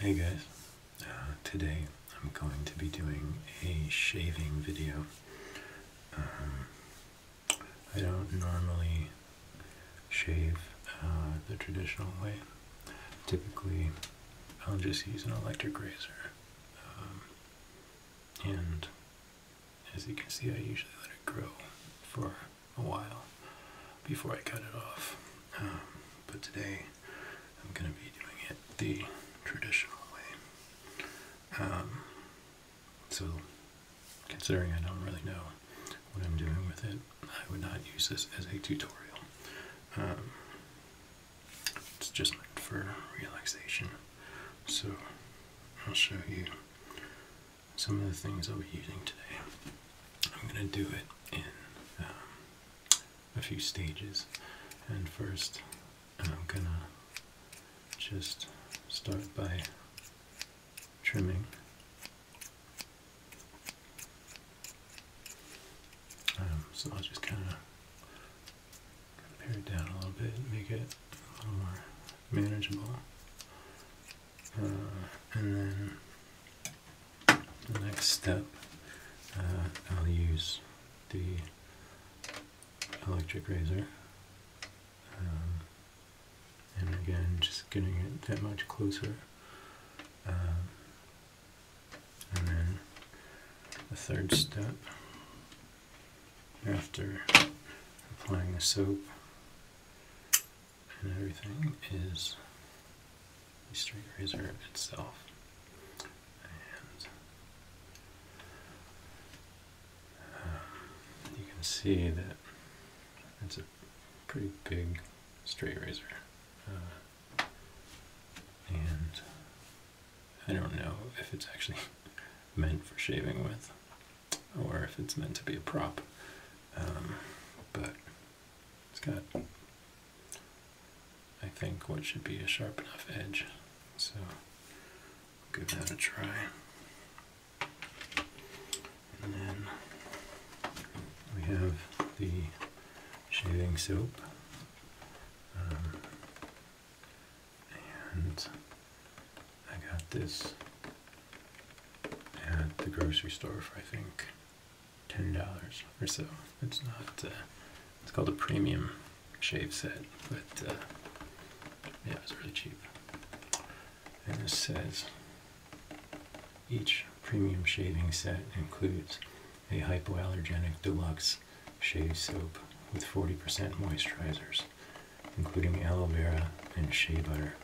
Hey guys, uh, today I'm going to be doing a shaving video. Um, I don't normally shave uh, the traditional way. Typically, I'll just use an electric razor um, and as you can see, I usually let it grow for a while before I cut it off. Um, but today, I'm going to be doing it the traditional way. Um, so, considering I don't really know what I'm doing with it, I would not use this as a tutorial. Um, it's just for relaxation. So, I'll show you some of the things I'll be using today. I'm going to do it in um, a few stages. And first, I'm going to just start by trimming. Um, so I'll just kind of pare it down a little bit, make it a little more manageable. Uh, and then the next step, uh, I'll use the electric razor. Um, and again, just getting it that much closer. Um, and then the third step after applying the soap and everything is the straight razor itself. And uh, you can see that it's a pretty big straight razor. Uh, and I don't know if it's actually meant for shaving with or if it's meant to be a prop. Um, but it's got, I think, what should be a sharp enough edge. So give that a try. And then we have the shaving soap. Um, and I got this at the grocery store for I think ten dollars or so. It's not. Uh, it's called a premium shave set, but uh, yeah, it really cheap. And it says each premium shaving set includes a hypoallergenic deluxe shave soap with 40% moisturizers including aloe vera and shea butter.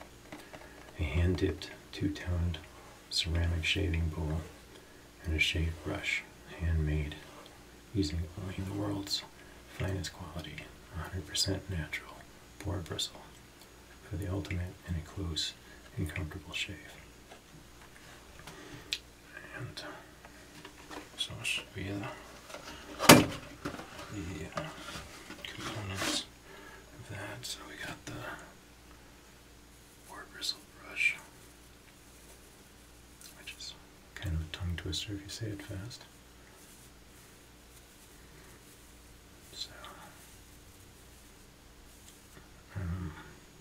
A hand dipped two toned ceramic shaving bowl and a shave brush, handmade, using only the world's finest quality, 100% natural boar bristle for the ultimate in a close and comfortable shave. And so should be the components of that. So we got the wart bristle brush, which is kind of a tongue twister if you say it fast. So, um,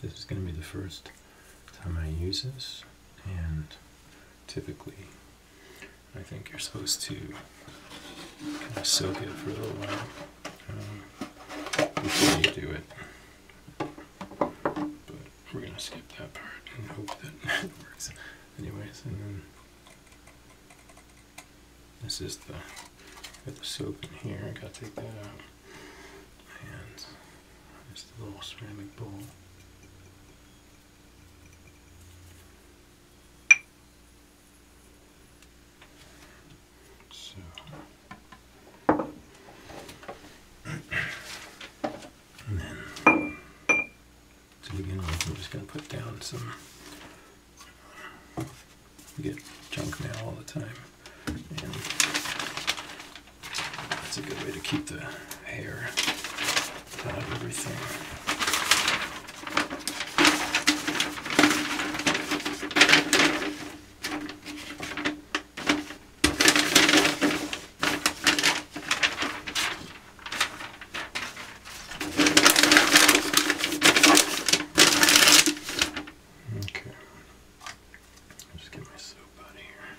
this is going to be the first time I use this, and typically I think you're supposed to kind of soak it for a little while um, before you do it. But we're going to skip that part and hope that it works. Anyways, and then this is the, got the soap in here, I gotta take that out. And there's the little ceramic bowl. So. And then to begin with, I'm just going to put down some. We get junk mail all the time, and that's a good way to keep the hair out of everything. Okay. just get my soap out of here.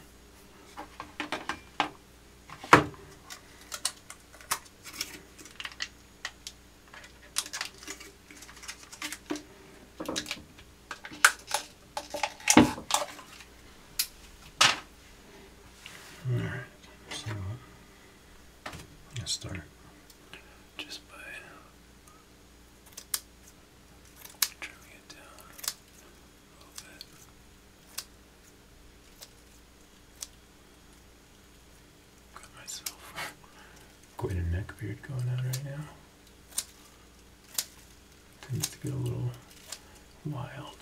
Alright, so let's start just by trimming it down little bit. Got myself quite a neck beard going on right now. Tends to get a little wild.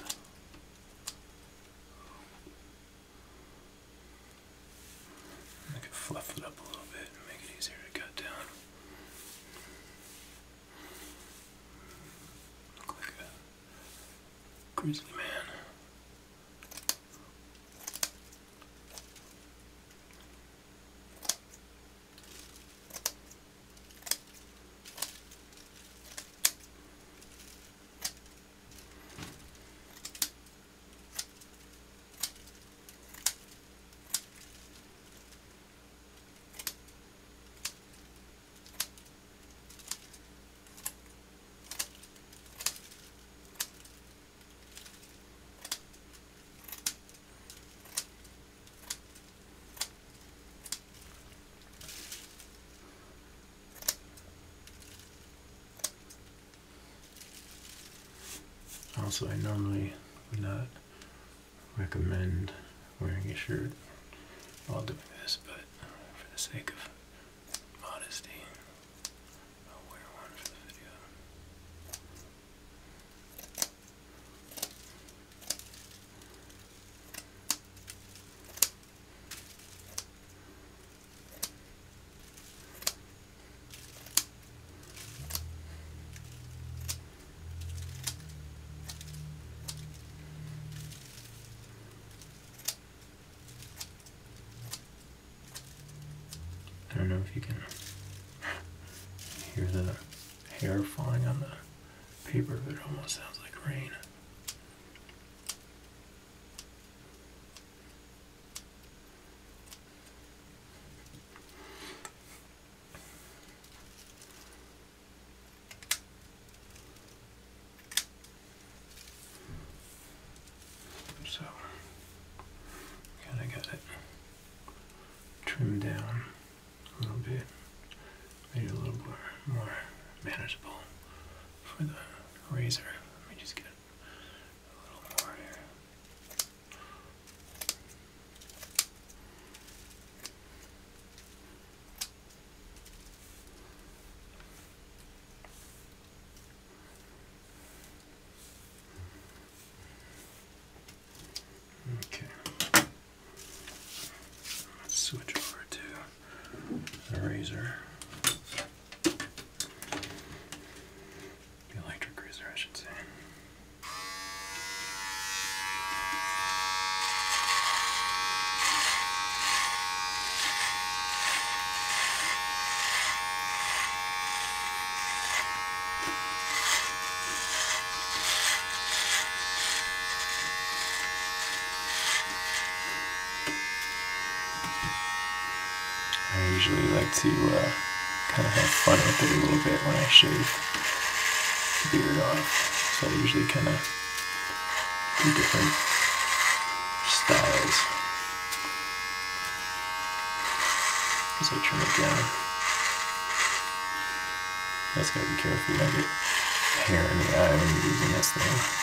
I could fluff it up a little bit and make it easier to cut down. Look like a Grizzly man. Also, I normally would not recommend wearing a shirt while doing this, but for the sake of modesty, I'll wear one for the video. I don't know if you can hear the hair falling on the paper, but it almost sounds like rain. So, kind of got it trimmed down a little bit, maybe a little more, more manageable for the razor. Let me just get a little more here. Okay. Let's switch over to a razor. The electric razor, I should say. I usually like to uh, kind of have fun with it a little bit when I shave beard off. So I usually kind of Two different styles. Switch them again. That's gotta be careful you don't get hair in the eye when you're using this thing.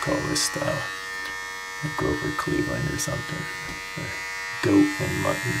call this uh, Grover Cleveland or something. Or goat and mutton.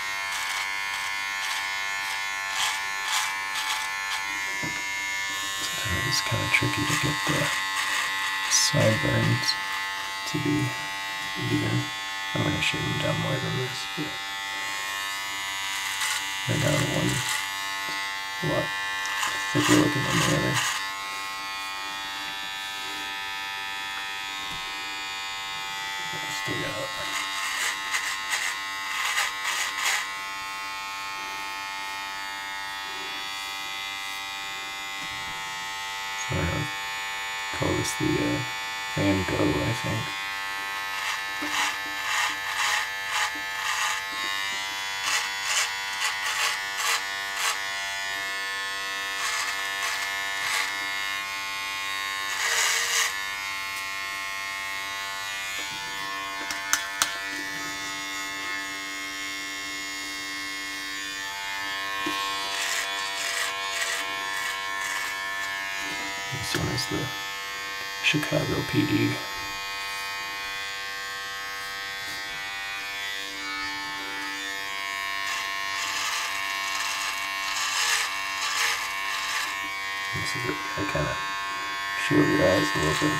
Sometimes it's kind of tricky to get the sideburns to be even. I'm going to shave them down more than this, but right now the one a lot thicker looking than the other. Let's do that. So I'll call this the uh, Van Gogh, I think. This one is the Chicago PD see if I kind of shield your eyes a little bit.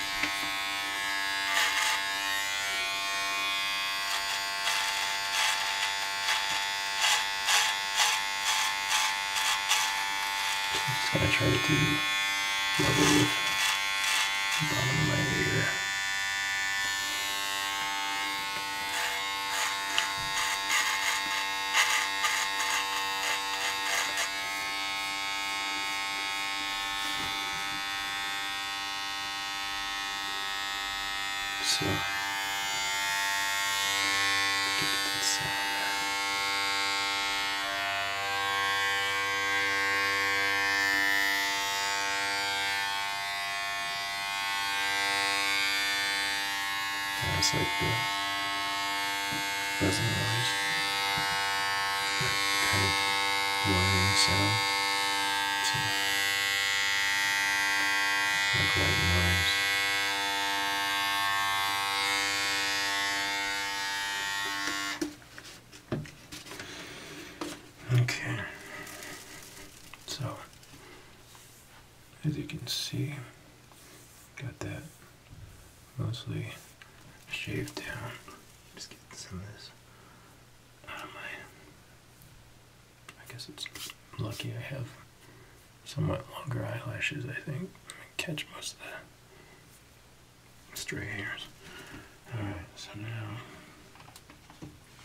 just gonna try to do level with the bottom of my ear. So, look at that sound there. That's like the doesn't always whining sound. It's a, like noise. Okay, so as you can see, got that mostly shave down. Just get some of this out of my. I guess it's lucky I have somewhat longer eyelashes, I think. I catch most of the stray hairs. Alright, so now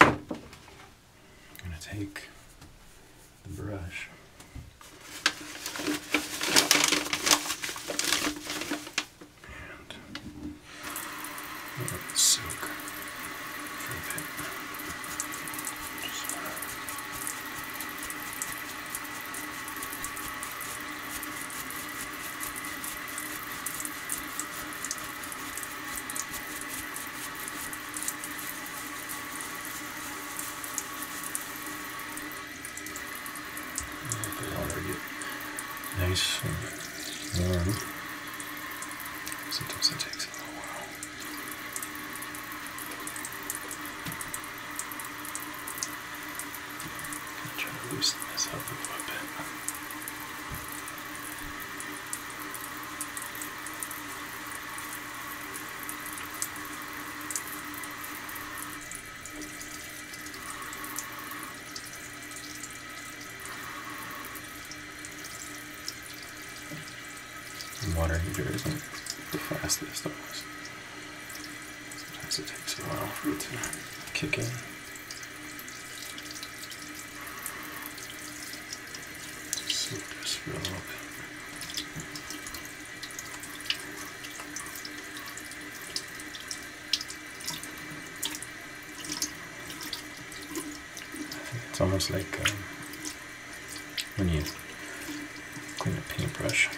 I'm going to take the brush and let it soak for a bit. Just wanna nice and warm. Sometimes it takes a while. trying to loosen this up a little bit. And water heater isn't the fastest always. Sometimes it takes a while for it to kick in. Soak a little bit. It's almost like um, when you clean a paintbrush,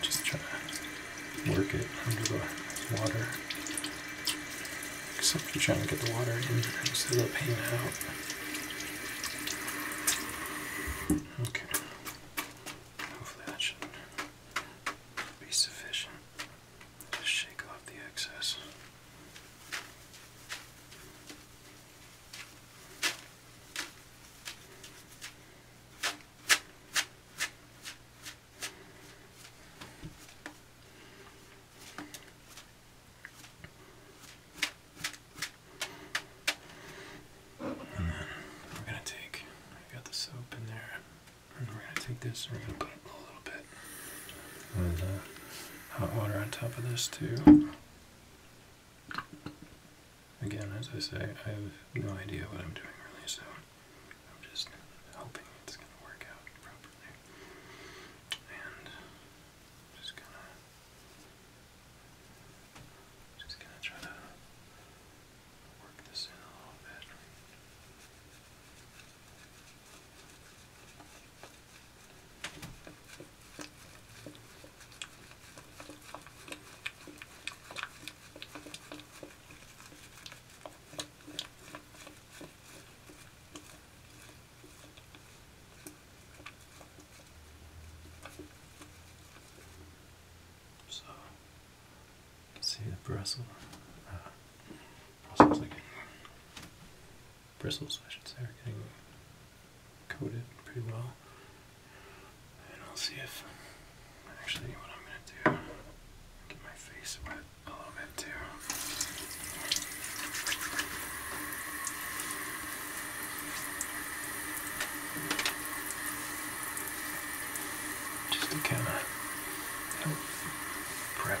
just try to work it under the water. Except you're trying to get the water in instead of the paint out. Okay. Hopefully that should be sufficient. to shake off the excess. And then we're gonna take, I got the soap in there, we're gonna take this and we're gonna put a little bit of uh, hot water on top of this too. Again, as I say, I have no idea what I'm doing really, so I'm just hoping it's gonna work out properly. And I'm just gonna just gonna try to Work this in a little bit. So you can see the bristle, bristles are getting, I should say getting coated pretty well. And I'll see if, actually what I'm going to do, get my face wet a little bit too. Just to kind of help prep.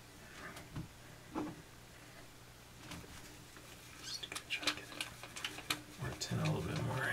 Just gonna try to get it worked in a little bit more here.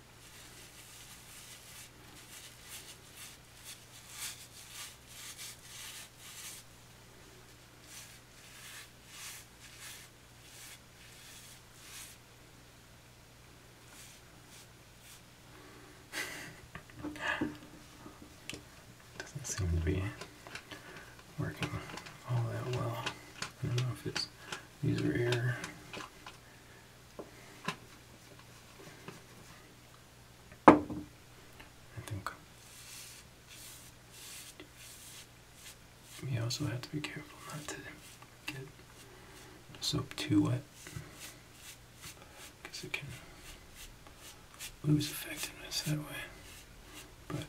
Doesn't seem to be working all that well. I don't know if it's user error I think we also have to be careful not to get soap too wet because it can lose effectiveness that way. But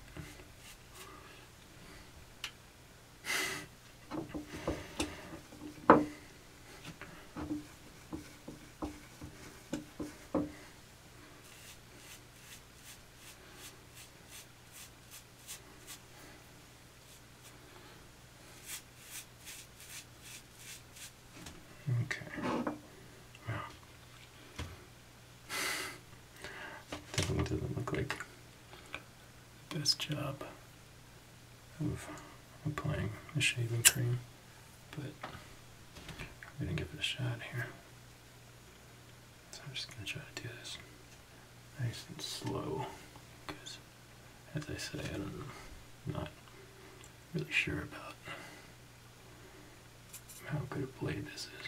Okay. Wow. Definitely doesn't look like best job of applying the shaving cream, but I'm gonna give it a shot here. So I'm just gonna try to do this nice and slow, because as I say, I'm not really sure about how good a blade this is.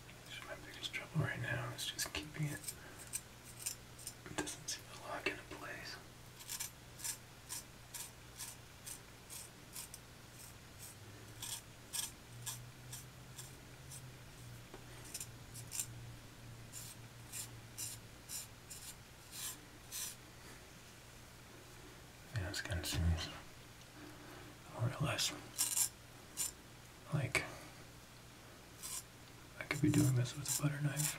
That's my biggest trouble right now is just keeping it. It doesn't seem to lock into place. And it kind of more or less like I could be doing this with a butter knife.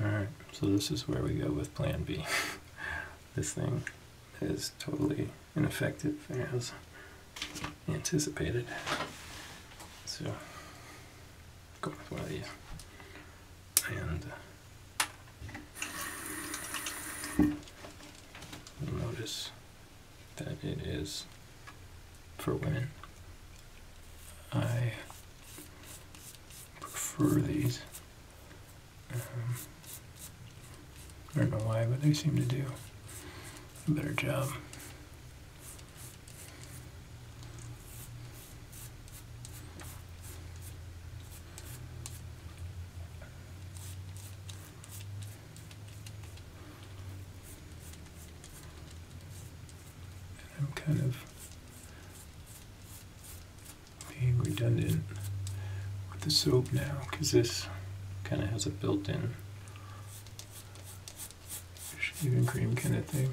Alright, so this is where we go with plan B. this thing is totally ineffective as anticipated. So Go with one of these. And uh, notice that it is for women. I prefer these. Um, I don't know why, but they seem to do a better job I'm kind of being redundant with the soap now because this kind of has a built-in shaving cream kind of thing.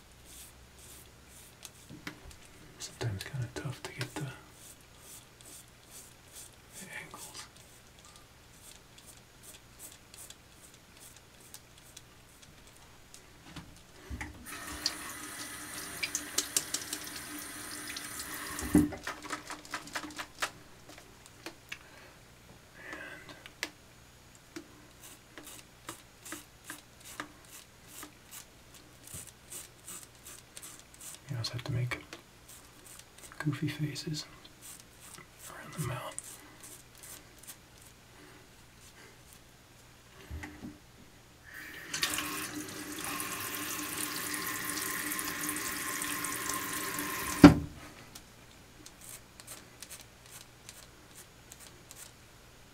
Sometimes kind of tough to get the, angles. And you always have to make goofy faces around the mouth.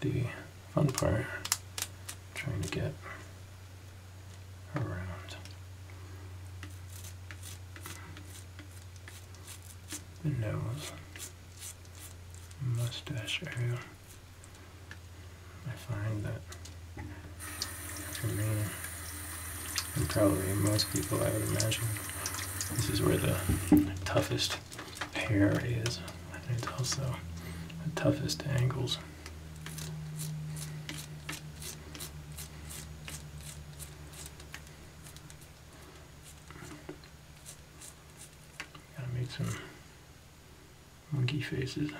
the fun part. trying to get around. The nose, mustache area. I find that for me, and probably most people I would imagine, this is where the toughest hair is. I it's also the toughest angles. Gotta make some monkey faces.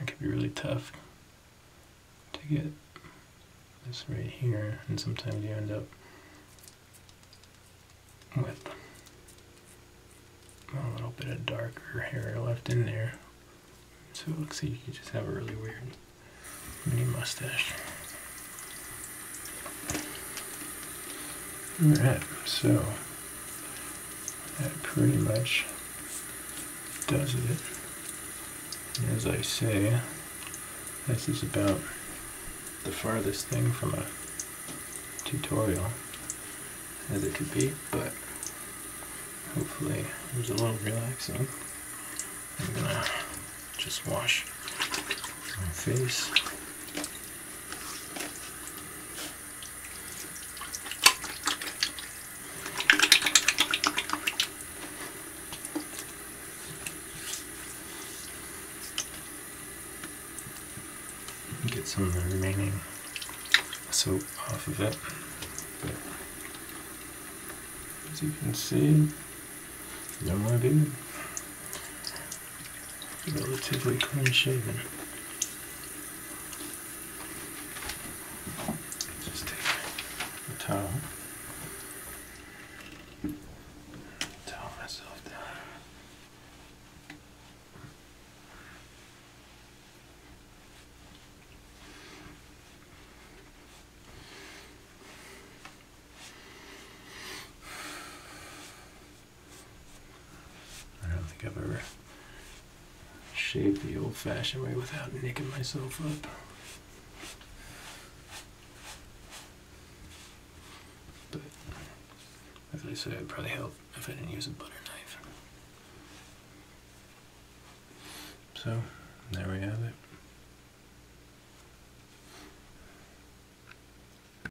It can be really tough to get this right here, and sometimes you end up with a little bit of darker hair left in there. So it looks like you just have a really weird mini mustache. Alright, so that pretty much does it. as I say, this is about the farthest thing from a tutorial as it could be, but hopefully it was a little relaxing. I'm gonna just wash my face. Get some of the remaining soap off of it. as you can see, no idea relatively clean shaven. Just take the towel, towel myself down. I don't think I've ever shaved the old fashioned way without nicking myself up. But as I said, it'd probably help if I didn't use a butter knife. So, there we have it.